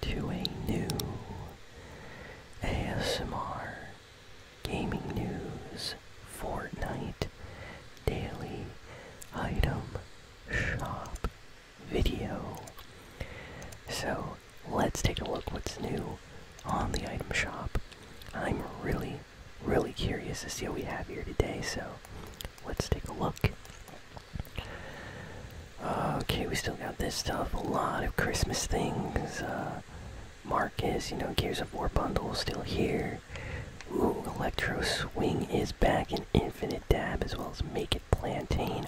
to a new ASMR Gaming News Fortnite Daily Item Shop video. So let's take a look what's new on the item shop. I'm really, really curious to see what we have here today, so let's take a look. Okay, we still got this stuff. A lot of Christmas things. Uh, Marcus, you know, Gears of War bundle still here. Ooh, Electro Swing is back in Infinite Dab as well as Make It Plantain.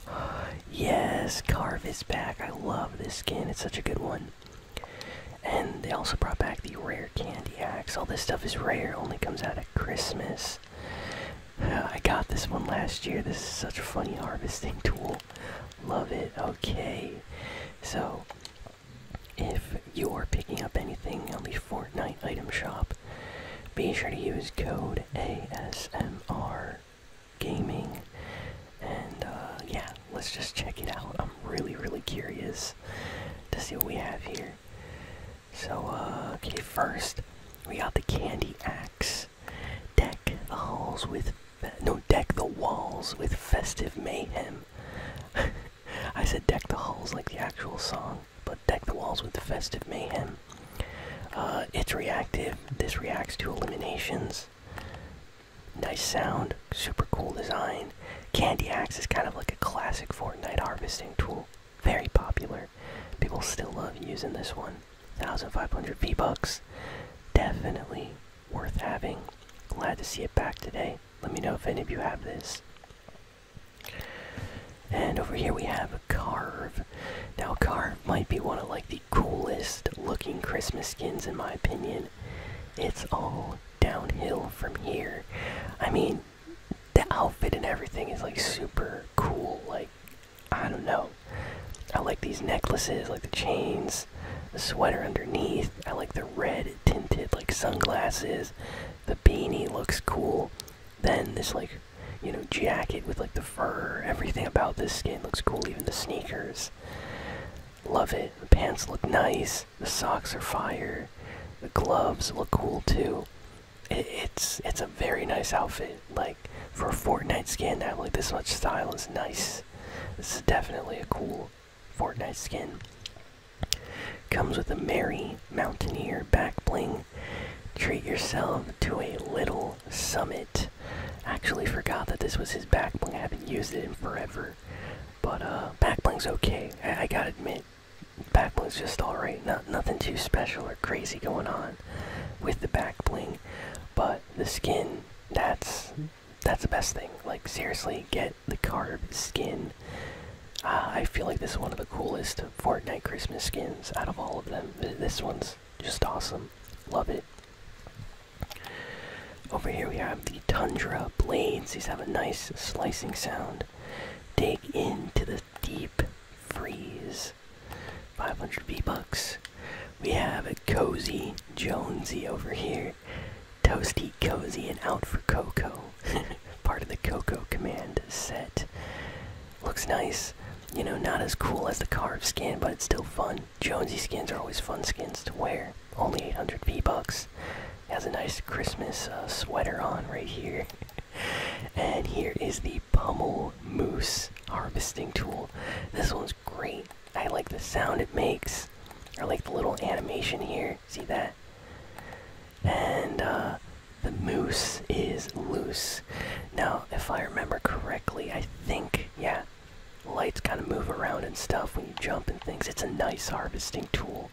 Yes, Carve is back. I love this skin. It's such a good one. And they also brought back the Rare Candy Axe. All this stuff is rare, only comes out at Christmas. I got this one last year. This is such a funny harvesting tool. Love it. Okay. So, if you are picking up anything on the Fortnite item shop, be sure to use code ASMR Gaming. And, uh, yeah, let's just check it out. I'm really, really curious to see what we have here. So, uh, okay, first we got the Candy Axe. Deck the halls with. No, deck the walls with festive mayhem. I said deck the halls like the actual song, but deck the walls with festive mayhem. Uh, it's reactive. This reacts to eliminations. Nice sound, super cool design. Candy Axe is kind of like a classic Fortnite harvesting tool. Very popular. People still love using this one. 1,500 V-Bucks. Definitely worth having. Glad to see it back today. Let me know if any of you have this. And over here we have a Carve. Now Carve might be one of like the coolest looking Christmas skins in my opinion. It's all downhill from here. I mean, the outfit and everything is like super cool. Like, I don't know. I like these necklaces, like the chains, the sweater underneath. I like the red tinted like sunglasses. The beanie looks cool. Then this like, you know, jacket with like the fur. Everything about this skin looks cool. Even the sneakers. Love it. The pants look nice. The socks are fire. The gloves look cool too. it's it's a very nice outfit. Like for a Fortnite skin to like this much style is nice. This is definitely a cool Fortnite skin. Comes with a merry mountaineer back bling. Treat yourself to a little summit. Actually forgot that this was his back bling. I haven't used it in forever. But uh back bling's okay. I gotta admit back bling's just alright. Not nothing too special or crazy going on with the back bling, but the skin that's that's the best thing. Like seriously, get the carb skin. Uh, I feel like this is one of the coolest Fortnite Christmas skins out of all of them. This one's just awesome. Love it. Over here we have the tundra blades. These have a nice slicing sound. Dig into the deep freeze. 500 B bucks. We have a cozy Jonesy over here. Toasty, cozy, and out for cocoa. Part of the cocoa command set. Looks nice. You know, not as cool as the carved skin, but it's still fun. Jonesy skins are always fun skins to wear only 800 V-Bucks. Has a nice Christmas uh, sweater on right here. and here is the Pummel Moose harvesting tool. This one's great. I like the sound it makes. I like the little animation here. See that? And uh, the moose is loose. Now, if I remember correctly, I think, yeah, lights kind of move around and stuff when you jump and things. It's a nice harvesting tool.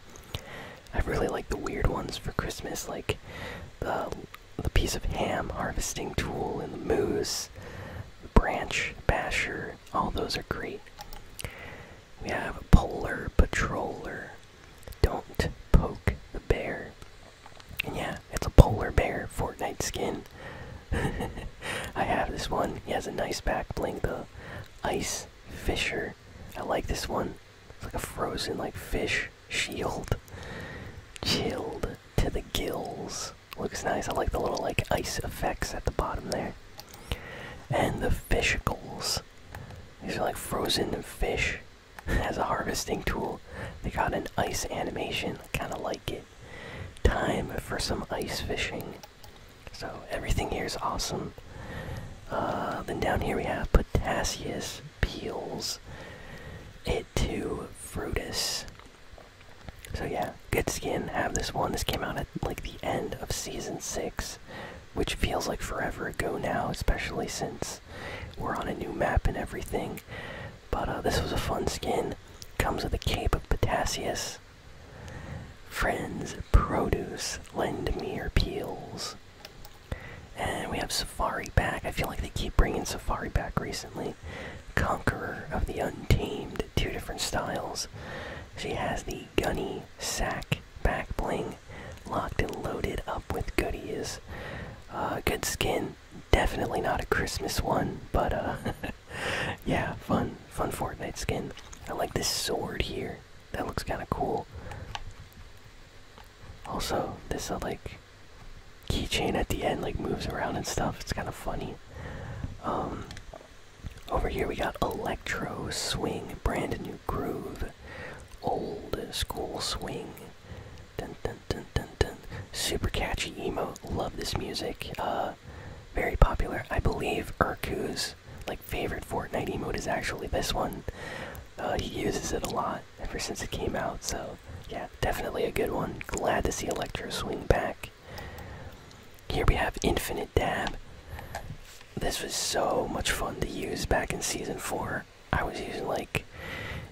I really like the weird ones for Christmas, like the um, the piece of ham harvesting tool and the moose, branch basher. All those are great. We have a polar patroller. Don't poke the bear. yeah, it's a polar bear Fortnite skin. I have this one. He has a nice back bling, the ice fisher. I like this one. It's like a frozen like fish shield. Chilled to the gills. Looks nice. I like the little like ice effects at the bottom there. And the fishicles. These are like frozen fish. As a harvesting tool. They got an ice animation. Kinda like it time for some ice fishing. So everything here is awesome. Uh, then down here we have Potassius Peels. It to Frutus. So yeah, good skin. I Have this one. This came out at like the end of season six, which feels like forever ago now, especially since we're on a new map and everything. But uh, this was a fun skin. Comes with a cape of Potassius. Friends, produce, lend me your peels. And we have Safari back. I feel like they keep bringing Safari back recently. Conqueror of the Untamed, two different styles. She has the gunny sack back bling, locked and loaded up with goodies. Uh, good skin, definitely not a Christmas one, but uh, yeah, fun, fun Fortnite skin. I like this sword here. That looks kind of cool. Also, this uh, like keychain at the end like moves around and stuff. It's kind of funny. Um, over here we got Electro Swing, brand new groove, old school swing. Super catchy emo. Love this music. Uh, very popular. I believe Urku's like favorite Fortnite emote is actually this one. Uh, he uses it a lot ever since it came out. So yeah, definitely a good one. Glad to see Electro swing back. Here we have Infinite Dab. This was so much fun to use back in season four. I was using like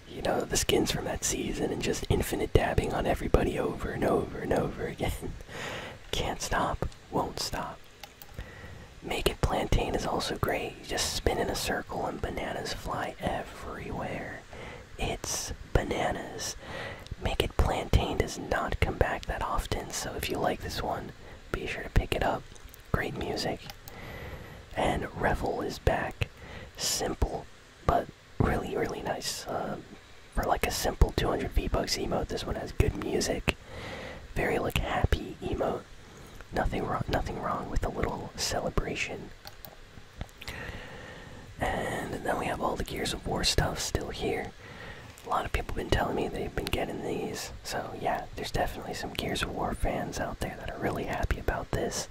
you know, the skins from that season and just infinite dabbing on everybody over and over and over again. Can't stop, won't stop. Make It Plantain is also great. You just spin in a circle and bananas fly everywhere. It's bananas. Make It Plantain does not come back that often, so if you like this one, be sure to pick it up. Great music. And Revel is back. Simple but really, really nice. Um, for like a simple 200 V-Bucks emote, this one has good music. Very like happy emote. Nothing wrong. Nothing wrong with a little celebration. And then we have all the Gears of War stuff still here. A lot of people have been telling me they've been getting these. So yeah, there's definitely some Gears of War fans out there that are really happy about this.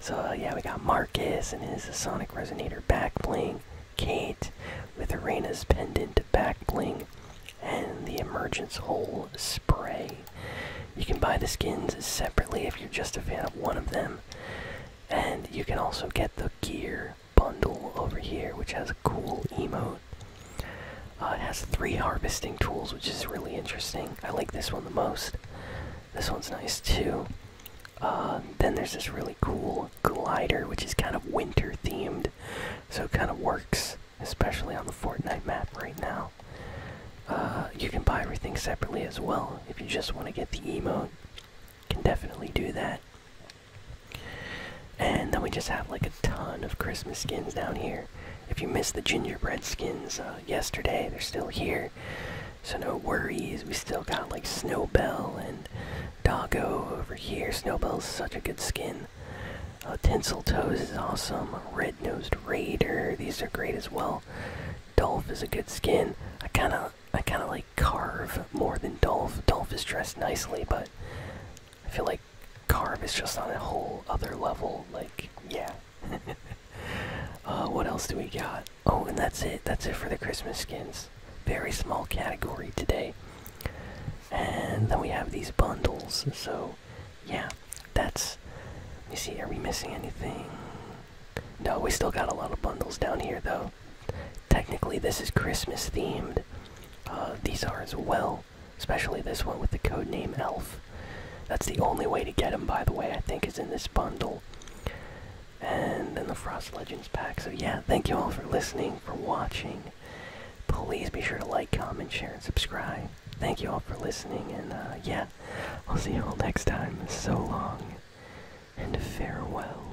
So uh, yeah, we got Marcus and his Sonic Resonator back bling, Kate with Arena's pendant back bling, and the Emergence Hole spray. You can buy the skins separately if you're just a fan of one of them, and you can also get the gear bundle over here, which has a cool emote. Uh, it has three harvesting tools, which is really interesting. I like this one the most. This one's nice too. Uh, then there's this really cool glider, which is kind of winter themed, so it kind of works, especially on the Fortnite map right now. Uh, you can buy everything separately as well if you just want to get the emote. Can definitely do that. And then we just have like ton of Christmas skins down here. If you missed the gingerbread skins uh, yesterday, they're still here. So no worries. We still got like Snowbell and Doggo over here. Snowbell's such a good skin. Uh, toes is awesome. Red-nosed Raider. These are great as well. Dolph is a good skin. I kind of, I kind of like Carve more than Dolph. Dolph is dressed nicely, but I feel like Carb is just on a whole other level. Like, yeah. Uh, what else do we got? Oh, and that's it. That's it for the Christmas skins. Very small category today. And then we have these bundles. So, yeah, that's. You see. Are we missing anything? No, we still got a lot of bundles down here, though. Technically, this is Christmas themed. Uh, these are as well especially this one with the codename Elf. That's the only way to get him, by the way, I think, is in this bundle. And then the Frost Legends pack. So, yeah, thank you all for listening, for watching. Please be sure to like, comment, share, and subscribe. Thank you all for listening, and uh, yeah, I'll see you all next time. So long, and farewell.